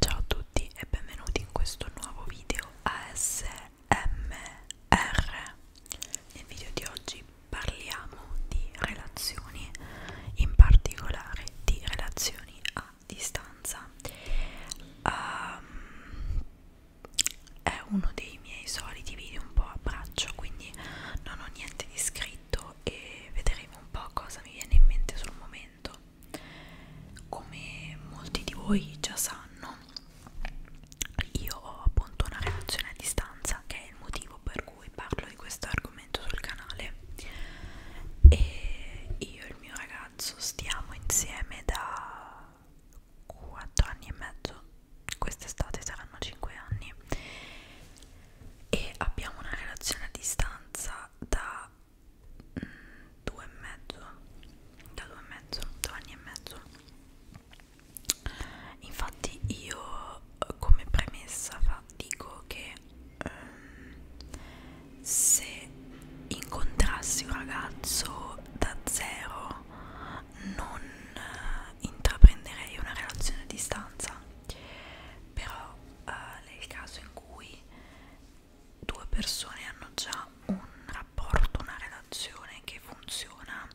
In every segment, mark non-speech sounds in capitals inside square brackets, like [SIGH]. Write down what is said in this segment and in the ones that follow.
Ciao a tutti e benvenuti in questo nuovo video ASMR. Nel video di oggi parliamo di relazioni, in particolare di relazioni a distanza. Um, è uno dei miei soliti video un po' a braccio, quindi non ho niente di scritto video e vedremo un po' cosa mi viene in mente sul momento. Come molti di voi già sanno, io ho appunto una relazione a distanza che è il motivo per cui parlo di questo argomento sul canale e io e il mio ragazzo stiamo insieme da 4 anni e mezzo quest'estate saranno 5 anni e abbiamo una relazione a distanza da mh, mm, due e mezzo da due e mezzo due anni e mezzo infatti io eh, come premessa fa, dico che um, se incontrassi un ragazzo da zero non uh, intraprenderei una relazione a distanza però eh, nel caso in cui due persone hanno già un rapporto, una relazione che funziona,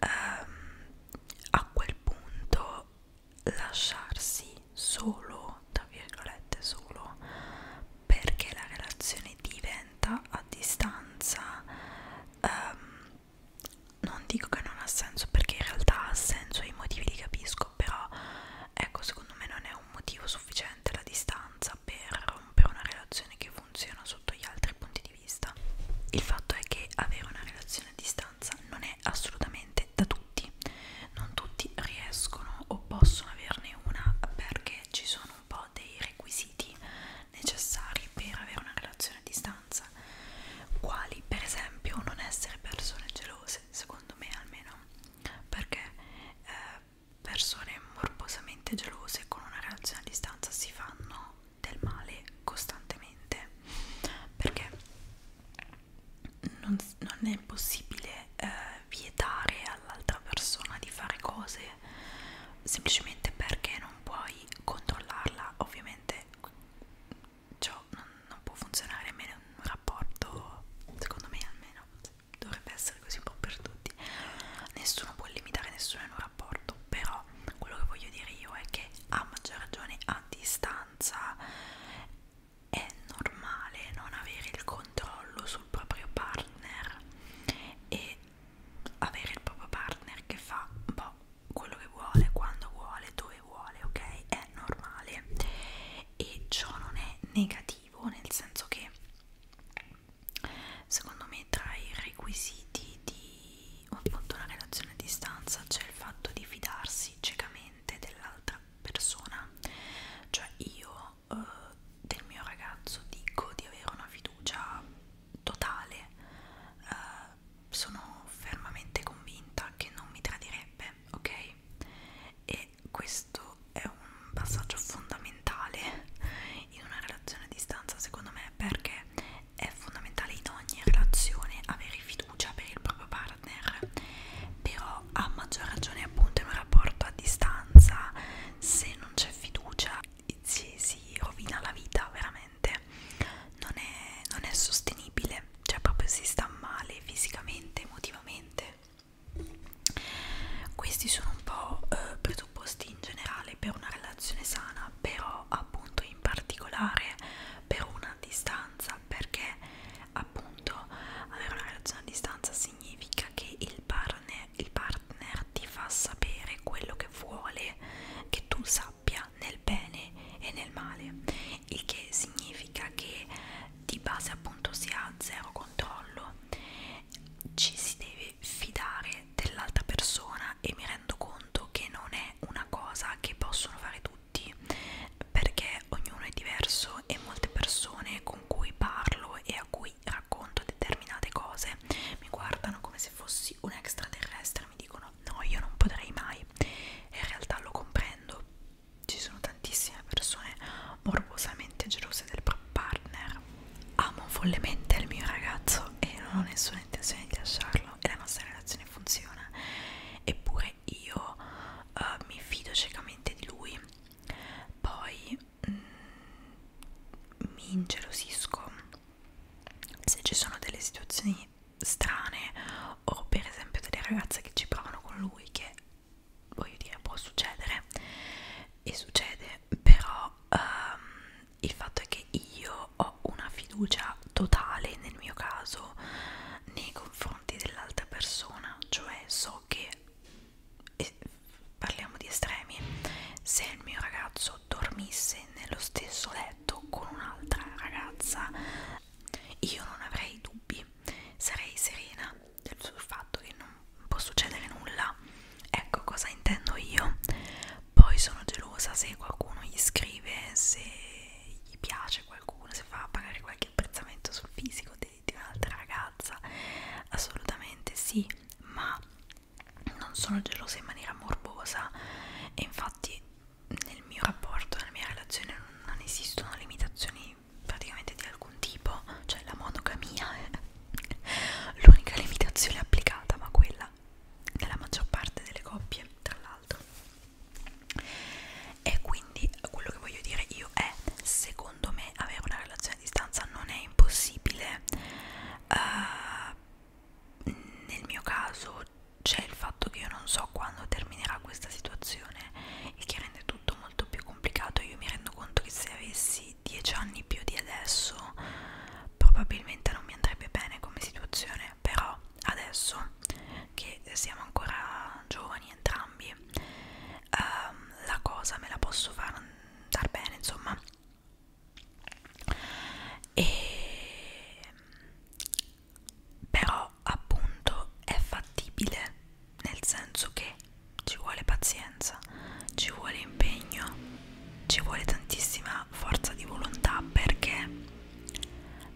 ehm, a quel punto lasciarsi solo, tra virgolette solo, perché la relazione diventa a distanza ehm, non dico che non ha senso perché in realtà ha senso e i motivi li capisco però ecco secondo me non è un motivo sufficiente la distanza per rompere una relazione che funziona sotto gli altri punti di vista il fatto è che avere una relazione a distanza non è assolutamente da tutti non tutti riescono o possono averne una perché ci sono un po' dei requisiti necessari per avere una relazione a distanza importanza, quali per esempio non essere persone gelose, secondo me almeno, perché eh, persone morbosamente gelose con una relazione a distanza si fanno del male costantemente, perché non, non è possibile eh, vietare all'altra persona di fare cose semplicemente perché non puoi controllarla ovviamente ciò non, non può funzionare a meno un rapporto, secondo me almeno dovrebbe essere così un po' per tutti nessuno può limitare nessuno in un rapporto però quello che voglio dire io è che a maggior ragione a distanza è normale non avere il controllo sul proprio partner e avere il proprio partner che fa boh quello che vuole, quando vuole, dove vuole, ok? È normale e ciò non è negativo, nel senso che secondo me tra i requisiti di appunto una relazione a distanza c'è il fatto di fidarsi ciecamente dell'altra persona, cioè io eh, del mio ragazzo dico di avere una fiducia totale eh, sono fermamente convinta che non mi tradirebbe, ok? E questo è un passaggio fondamentale in una relazione a distanza, secondo me, perché è fondamentale in ogni relazione avere fiducia per il proprio partner, però a maggior ragione appunto in un rapporto a distanza, se non c'è fiducia si, si rovina la vita veramente non è, non è sostenibile male, cioè proprio si sta male fisicamente, emotivamente. Questi sono un po' eh, presupposti in generale per una relazione sana, però appunto in particolare per una distanza, perché appunto avere una relazione a distanza significa che il partner, il partner ti fa sapere quello che vuole che tu sappia sia nel bene e nel male, il che significa che di base appunto si ha zero controllo, ci si deve fidare dell'altra persona e mi rendo conto che non è una cosa che possono fare tutti perché ognuno è diverso e molte persone con cui parlo e a cui racconto determinate cose mi guardano come se fossi un extraterrestre mi dicono no io non potrei mai e in realtà lo comprendo ci sono tantissime persone morbosamente gelose del partner amo follemente il mio ragazzo e non ho nessuna intenzione di lasciarlo e la nostra relazione funziona eppure io uh, mi fido ciecamente di lui poi mm, mi ingelosisco se ci sono delle situazioni reazioni strane o per esempio delle ragazze che ci provano con lui che voglio dire può succedere e succede però um, il fatto è che io ho una fiducia totale nel mio caso nei confronti dell'altra persona cioè so che e parliamo di estremi se il mio ragazzo dormisse nello stesso letto con un'altra ragazza io non avrei dubbi, sarei serena sul fatto che non può succedere nulla. Ecco cosa intendo io. Poi sono gelosa se qualcuno gli scrive, se gli piace qualcuno, se fa pagare qualche apprezzamento sul fisico di, di un'altra ragazza. Assolutamente sì, ma non sono gelosa in maniera morbosa e infatti nel mio rapporto, nella mia relazione non esistono limitazioni praticamente di alcun tipo, cioè la monogamia è l'unica limitazione applicata, ma quella nella maggior parte delle coppie, tra l'altro. E quindi quello che voglio dire io è, secondo me, avere una relazione a distanza non è impossibile. Uh, nel mio caso c'è il fatto che io non so quando terminerà questa situazione, il che rende tutto molto più complicato. Io mi rendo conto che se avessi 10 anni più di adesso, probabilmente non mi andrebbe bene come situazione, però adesso che siamo ancora giovani entrambi, ehm, la cosa me la posso far andare bene, insomma. E però appunto è fattibile nel senso che ci vuole pazienza ci vuole impegno ci vuole tantissima forza di volontà perché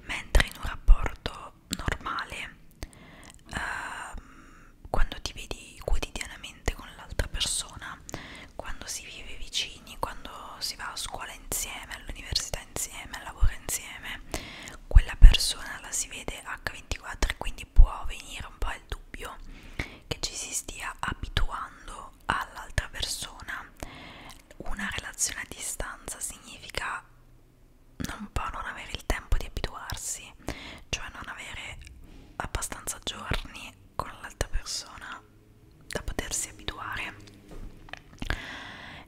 mentre in un rapporto normale eh, quando ti vedi quotidianamente con l'altra persona quando si vive vicini quando si va a scuola insieme all'università sta insieme, lavora insieme, quella persona la si vede H24 e quindi può venire un po' il dubbio che ci si stia abituando all'altra persona. Una relazione a distanza significa non può non avere il tempo di abituarsi, cioè non avere abbastanza giorni con l'altra persona da potersi abituare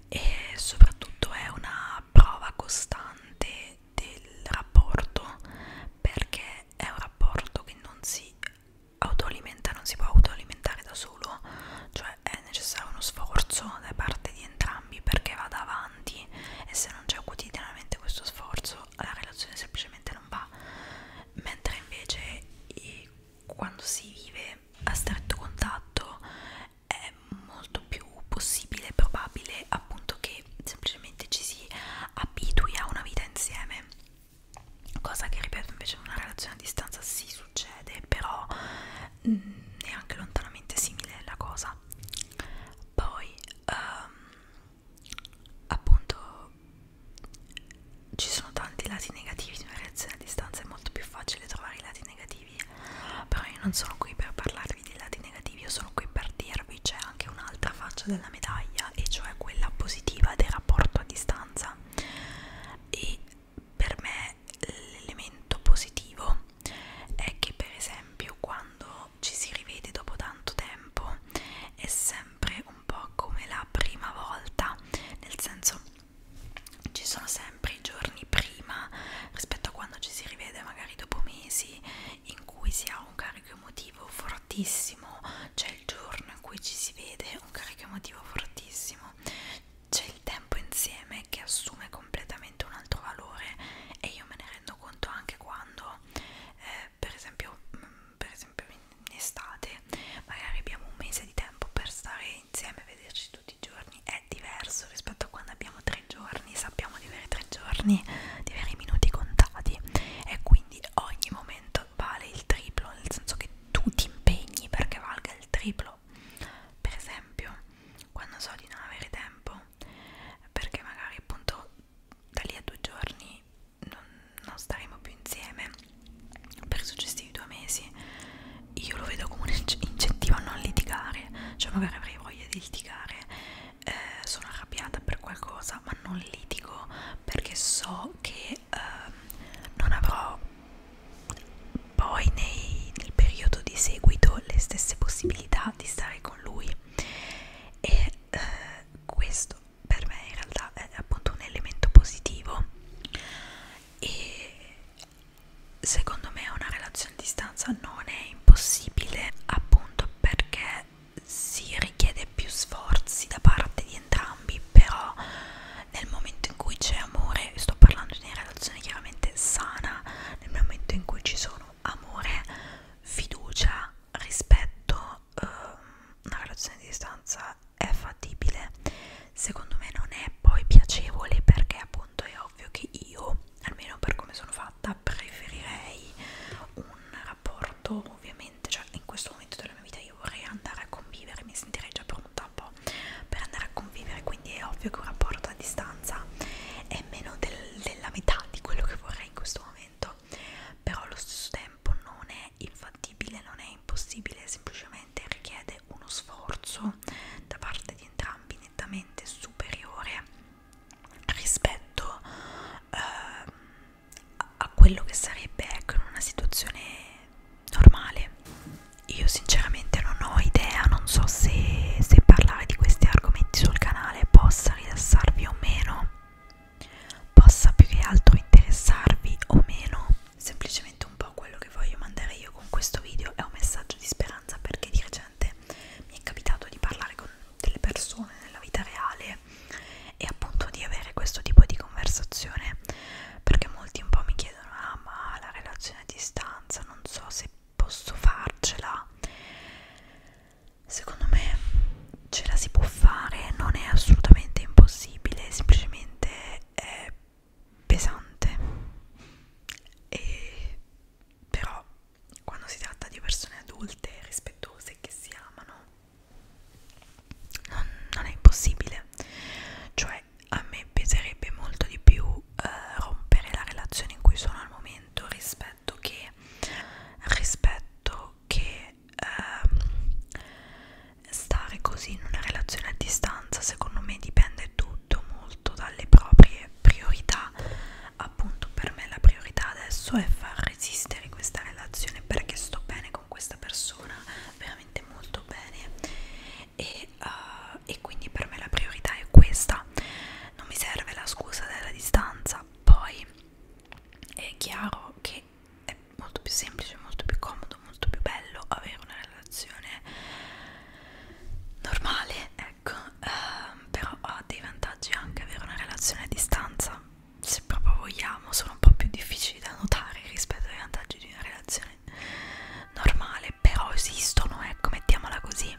e soprattutto è una prova costante del rapporto perché è un rapporto che non si autoalimenta, non si può autoalimentare da solo, cioè è necessario uno sforzo da parte di entrambi perché vada avanti e se non c'è quotidianamente questo sforzo la relazione semplicemente non va, mentre invece quando si vive a stretto contatto è molto più possibile e probabile appunto che semplicemente ci si abitui a una vita insieme cosa che ripeto invece in una relazione a distanza si succede però mm, neanche lontanamente simile la cosa poi um, appunto ci sono tanti lati negativi di una relazione a distanza è molto più facile trovare i lati negativi negativi però io non sono qui per parlarvi dei lati negativi io sono qui per dirvi c'è anche un'altra faccia della medaglia e cioè quella positiva del rapporto a distanza e per me l'elemento positivo è che per esempio quando ci si rivede dopo tanto tempo è sempre un po' come la prima volta nel senso ci sono sempre i giorni prima rispetto a quando ci si rivede magari dopo mesi in cui si ha un carico emotivo fortissimo c'è il giorno in cui ci si vede un carico emotivo fortissimo c'è il tempo insieme che assume completamente un altro valore e io me ne rendo conto anche quando eh, per esempio mm, per esempio in estate magari abbiamo un mese di tempo per stare insieme vederci vederci tutti i giorni è diverso rispetto a quando abbiamo tre giorni, sappiamo di avere tre giorni, di avere i minuti contati e quindi ogni momento vale il triplo, nel senso che tu ti impegni perché valga il triplo. Per esempio, quando so di non avere tempo, perché magari appunto da lì a due giorni non, non staremo più insieme per i successivi due mesi io lo vedo come un incentivo a non litigare cioè magari avrei voglia di litigare eh, sono arrabbiata per qualcosa ma non litigo perché so che eh, non avrò poi nei, nel periodo di seguito le stesse possibilità di stare con lui e eh, questo per me in realtà è appunto un elemento positivo e secondo me una relazione a distanza non è impossibile appunto perché si richiede più sforzi da parte di entrambi però nel momento in cui c'è amore sto parlando di una relazione chiaramente sana nel momento in cui ci sono amore fiducia rispetto eh, una relazione a distanza è fattibile secondo me non è poi piacevole perché appunto è ovvio che io almeno per come sono fatta preferirei un rapporto ovviamente cioè in questo momento della mia vita io vorrei andare a convivere mi sentirei già pronta un po' per andare a convivere quindi è ovvio che un rapporto a distanza è meno del, della metà di quello che vorrei in questo momento però allo stesso tempo non è infattibile non è impossibile semplicemente richiede uno sforzo da parte di entrambi nettamente superiore rispetto eh, a quello che sarebbe ecco, in una situazione normale. Io sinceramente non ho idea, non so se, se parlare di questi argomenti sul canale possa rilassarvi o meno, possa più che altro interessarvi o meno, semplicemente un po' quello quello che voglio mandare io con questo video è un messaggio di speranza perché di recente mi è capitato di parlare con delle persone nella vita reale e appunto di avere questo tipo di conversazione perché molti un po' mi chiedono ah ma la relazione a distanza non so se posso farcela secondo me ce la si può fare non è assolutamente impossibile semplicemente è pesante e però quando si tratta di persone adulte rispettose che si amano non, non è impossibile cioè a me peserebbe molto di più eh, rompere la relazione in cui sono al momento rispetto che rispetto che eh, stare così in una relazione a distanza secondo me dipende tutto molto dalle proprie priorità appunto per me la priorità adesso è far resistere questa relazione perché sto bene con questa persona veramente molto bene e, uh, e quindi per me la priorità è questa non mi serve la scusa della distanza poi è chiaro che è molto più semplice molto più comodo molto più bello avere una relazione relazione normale, ecco, ehm, però ha dei vantaggi anche avere una relazione a distanza, se proprio vogliamo, sono un po' più difficili da notare rispetto ai vantaggi di una relazione normale, però esistono, ecco, mettiamola così,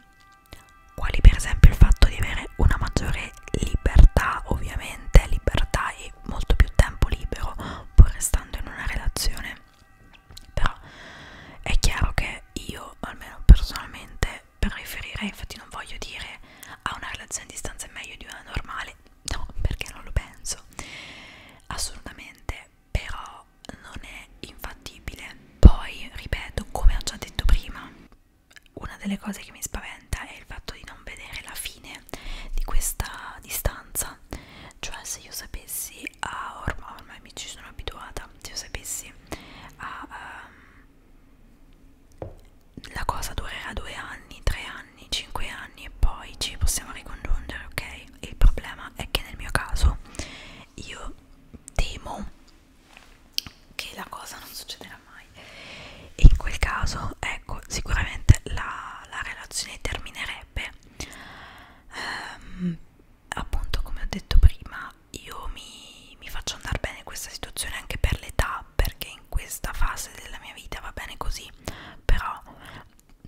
quali per esempio il fatto di avere una maggiore libertà, ovviamente libertà e molto più tempo libero pur restando in una relazione però è chiaro che io almeno personalmente preferirei infatti non voglio dire a una relazione a distanza è meglio di una normale no perché non lo penso assolutamente però non è infattibile poi ripeto come ho già detto prima una delle cose che mi spaventa è il fatto di non vedere la fine di questa distanza vita cioè se io sapessi a ormai, ormai mi ci sono abituata se io sapessi a um, la cosa durerà due anni tre anni cinque anni e poi ci possiamo ricongiungere ok il problema è che nel mio caso io temo che la cosa non succederà mai e in quel caso ecco sicuramente la, la relazione terminerebbe ehm, appunto come ho detto prima io mi, mi faccio andare bene questa situazione anche per l'età perché in questa fase della mia vita va bene così però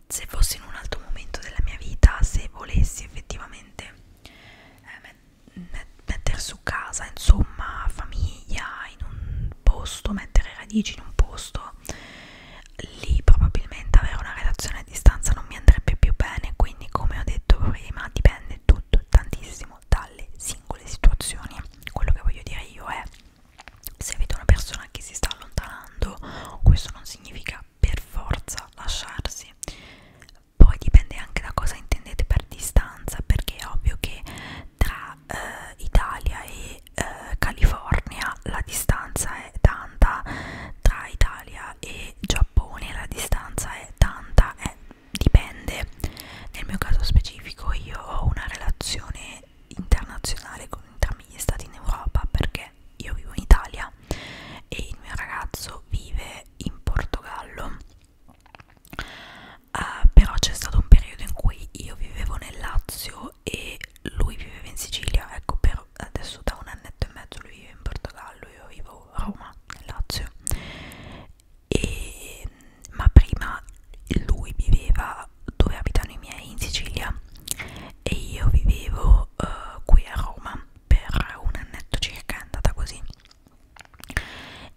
se fossi in un altro momento della mia vita se volessi effettivamente eh, mettere su casa insomma famiglia in un posto mettere radici in un posto lì probabilmente avere una relazione a distanza non mi andrebbe più bene, quindi come ho detto prima dipende tutto tantissimo dalle singole situazioni. Quello che voglio dire io è se avete una persona che si sta allontanando, questo non significa per forza lasciarsi. Poi dipende anche da cosa intendete per distanza, perché è ovvio che tra eh, Italia e eh, California la distanza è tanta, tra Italia e Giappone la distanza è tanta, eh, dipende. Nel mio caso specifico io ho una relazione internazionale con entrambi gli stati in Europa perché io vivo in Italia e il mio ragazzo vive in Portogallo. Uh, però c'è stato un periodo in cui io vivevo nel Lazio e lui viveva in Sicilia, ecco per io adesso da un annetto e mezzo lui vive in Portogallo, io vivo a Roma, nel Lazio e, ma prima lui viveva dove abitano i miei in Sicilia e io vivevo uh, qui a Roma per un annetto circa, è andata così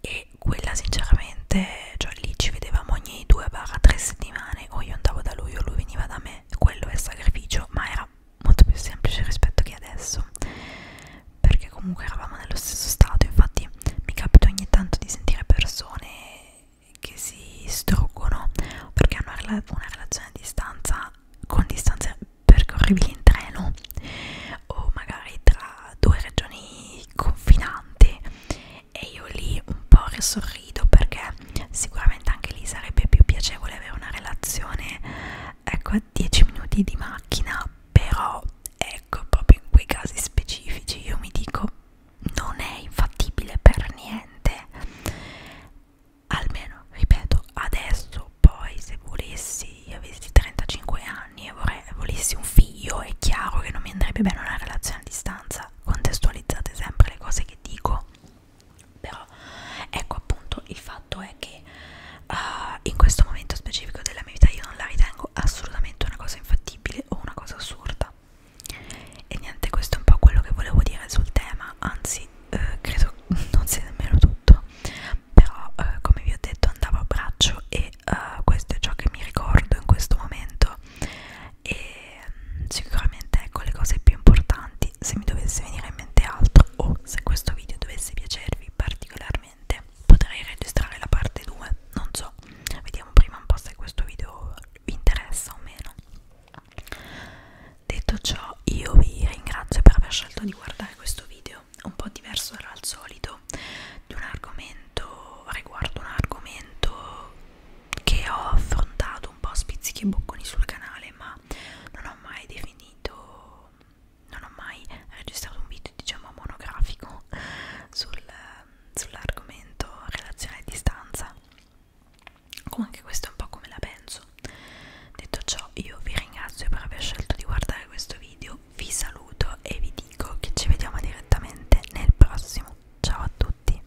e quella sinceramente, cioè lì ci vedevamo ogni due barra tre settimane o io andavo da lui o lui veniva da me quello è sacrificio, ma era molto più semplice rispetto che adesso perché comunque eravamo nello stesso stato infatti mi capita ogni tanto di sentire persone che si struggono perché hanno una, rela una relazione a distanza con distanze percorribili in treno o magari tra due regioni confinanti e io lì un po' risorrido perché sicuramente anche lì sarebbe più piacevole avere una relazione ecco a 10 minuti di macchina però ecco proprio in quei casi specifici io mi dico non è infattibile per niente almeno ripeto adesso poi se volessi io avessi 35 anni e vorrei, volessi un figlio è chiaro che non mi andrebbe bene una relazione a distanza contestualizzate sempre le cose che dico però ecco appunto il fatto è che uh, in questo momento specifico della mia vita io non la ritengo assolutamente una cosa infattibile o una cosa assurda e niente questo è un po' quello che volevo dire sul tema anzi eh, credo [LAUGHS] non sia nemmeno tutto però eh, come vi ho detto andavo a braccio e eh, questo è ciò che mi ricordo in questo momento e mm, sicuramente ecco le cose più importanti quindi se mi dovesse venire in mente altro o se questo video dovesse piacervi particolarmente potrei registrare la parte 2, non so, vediamo prima un po' se questo video vi interessa o meno. Detto ciò io vi ringrazio per aver scelto di guardare questo video, un po' diverso dal solito, di un argomento riguardo un argomento che ho affrontato fatto un po' spizzichi e bocconi sul canale ma non ho mai definito non ho mai registrato un video diciamo monografico [LAUGHS] sul, sull'argomento relazione a distanza comunque questo è un po' come la penso detto ciò io vi ringrazio per aver scelto di guardare questo video vi saluto e vi dico che ci vediamo direttamente nel prossimo ciao a tutti